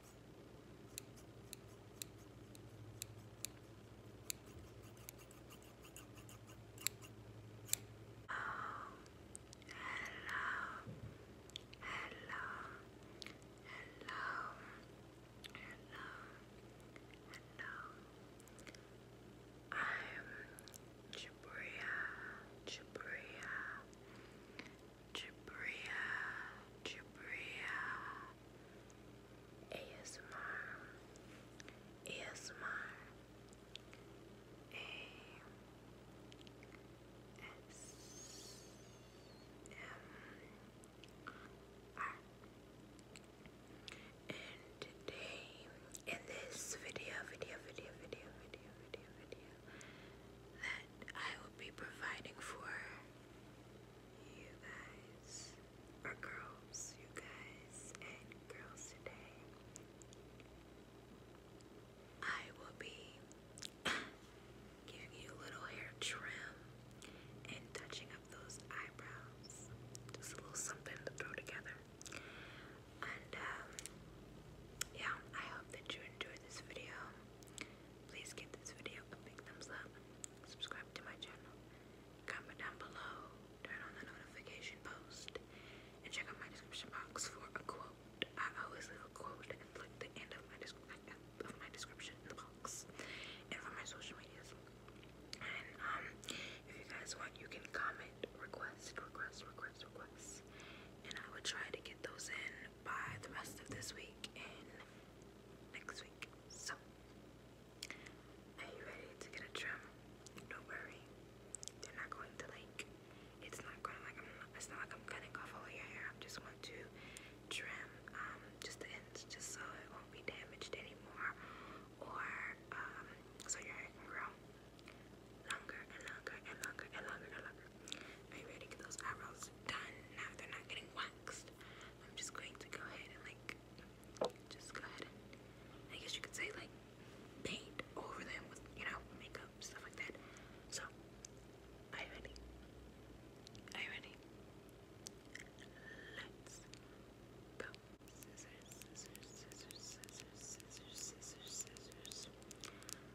Oh, hello, hello, hello, hello, hello. I'm Jabria, Jabria, Jabria, Jabria, ASMR, ASMR, A, S, M, R. And today, in this video, video, video, video, video, video, video, that I will be providing for you guys, or girls, you guys and girls today, I will be giving you a little hair trim and touching up those eyebrows. Just a little something to throw together. And um, yeah, I hope that you enjoyed this video. Please give this video a big thumbs up. Subscribe to my channel. Comment down below. Turn on the notification post. And check out my description box for a quote. I always leave a quote and like the end of my description in the box. And for my social medias. And um, if you guys want you can comment, request, request, request, request. And I will try to get those in by the rest of this week and next week. So, are you ready to get a trim? Don't worry, they're not going to like. It's not going to like. it's not like I'm cutting off all your hair. I just want to trim um, just just so it won't be damaged anymore, or um, so your hair can grow longer and longer and longer and longer and longer. I ready get those eyebrows done. Now they're not getting waxed. I'm just going to go ahead and like just go ahead I guess you could say like paint over them with you know makeup stuff like that. So are you ready? Are you ready? Let's go.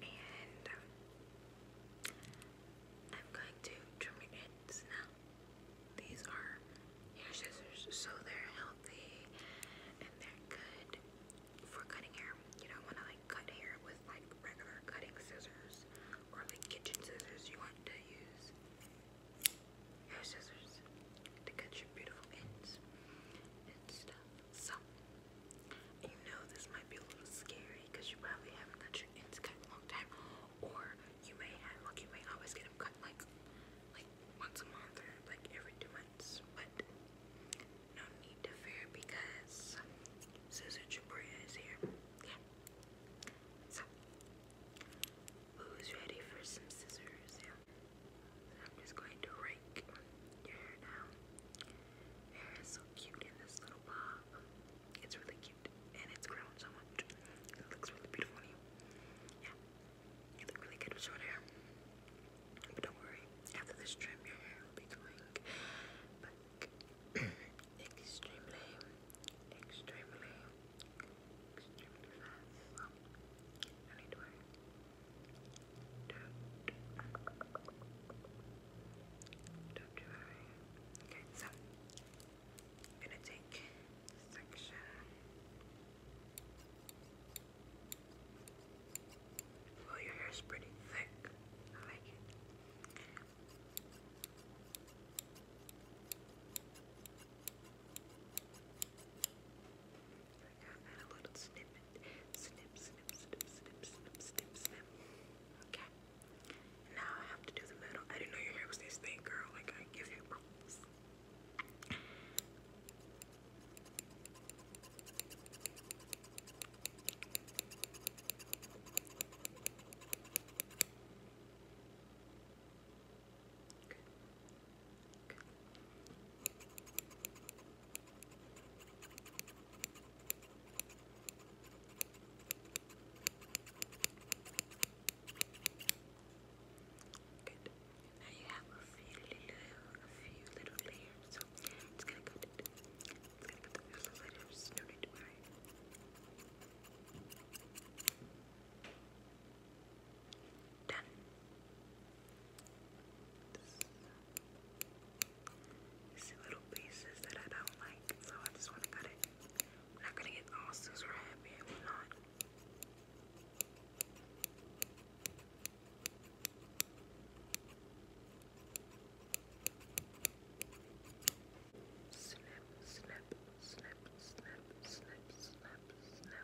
and um, I'm going to trim your ends now. These are hair scissors, so they're healthy and they're good for cutting hair. You don't want to like cut hair with like regular cutting scissors or like kitchen scissors. You want to use hair scissors to cut your beautiful ends and stuff. So, you know this might be a little scary because you probably haven't got your ends cut in a long time, or you may have, like, you may always get them cut like, like once a month or like every two months. But no need to fear because Sister Jabria is here. Yeah. So, who's ready for some scissors? Yeah. I'm just going to rake your hair down. hair is so cute in this little bob. It's really cute and it's grown so much. It looks really beautiful on you. Yeah, you look really good with short hair. But don't worry, after this trim, your hair will be going extremely, extremely, extremely fast. don't worry do you Okay, so I'm gonna take section well your hair is pretty thick. I like it a Snip, snip, snip, snip, snip, snip, snip. Okay. Now I have to do the middle. I didn't know your hair was this thing, girl. Like, I give you Good. Now you have a few little, a few little layers, so i gonna go. To, i gonna put the little layers no need worry. Done. These little pieces that I don't like, so I just want to cut it. not gonna get all scissor happy if i Snip, snip, snip, snip, snip, snip, snip.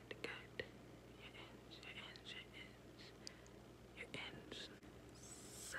good, good. Your ends, your ends, your ends, your ends. So,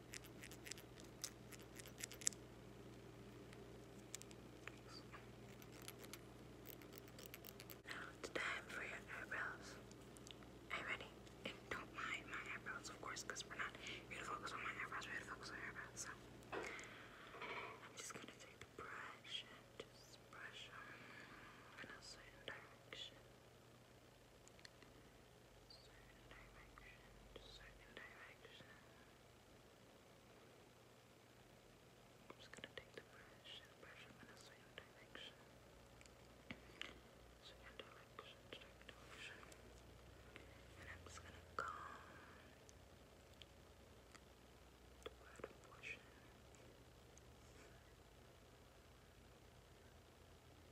Now it's time for eyebrows. Are you ready? don't mind my eyebrows, of course, because we're not here to focus on my eyebrows, we're here to focus on eyebrows. I'm just gonna take the brush and just brush in a certain direction. Certain direction, certain direction. I'm just gonna take the brush and brush them in a certain direction. Certain direction, certain direction. And I'm just gonna comb the bottom portion. Just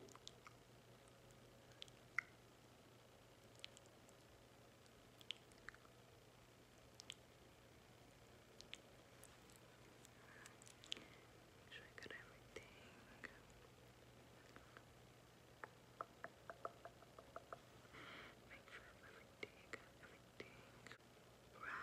Make sure I got everything. Make sure everything, everything. Brown.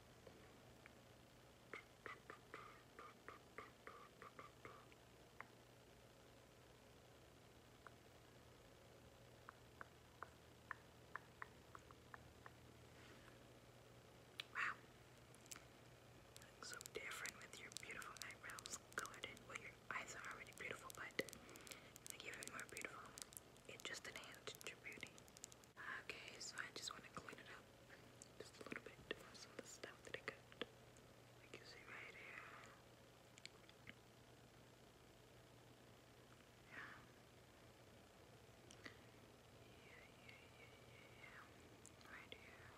Wow. Look so different with your beautiful eyebrows colored Well, your eyes are already beautiful, but they give it more beautiful. It just enhanced your beauty. Okay, so I just want to clean it up just a little bit from some of the stuff that I got. Like you see right here. Yeah, yeah, yeah, yeah, yeah. Right here.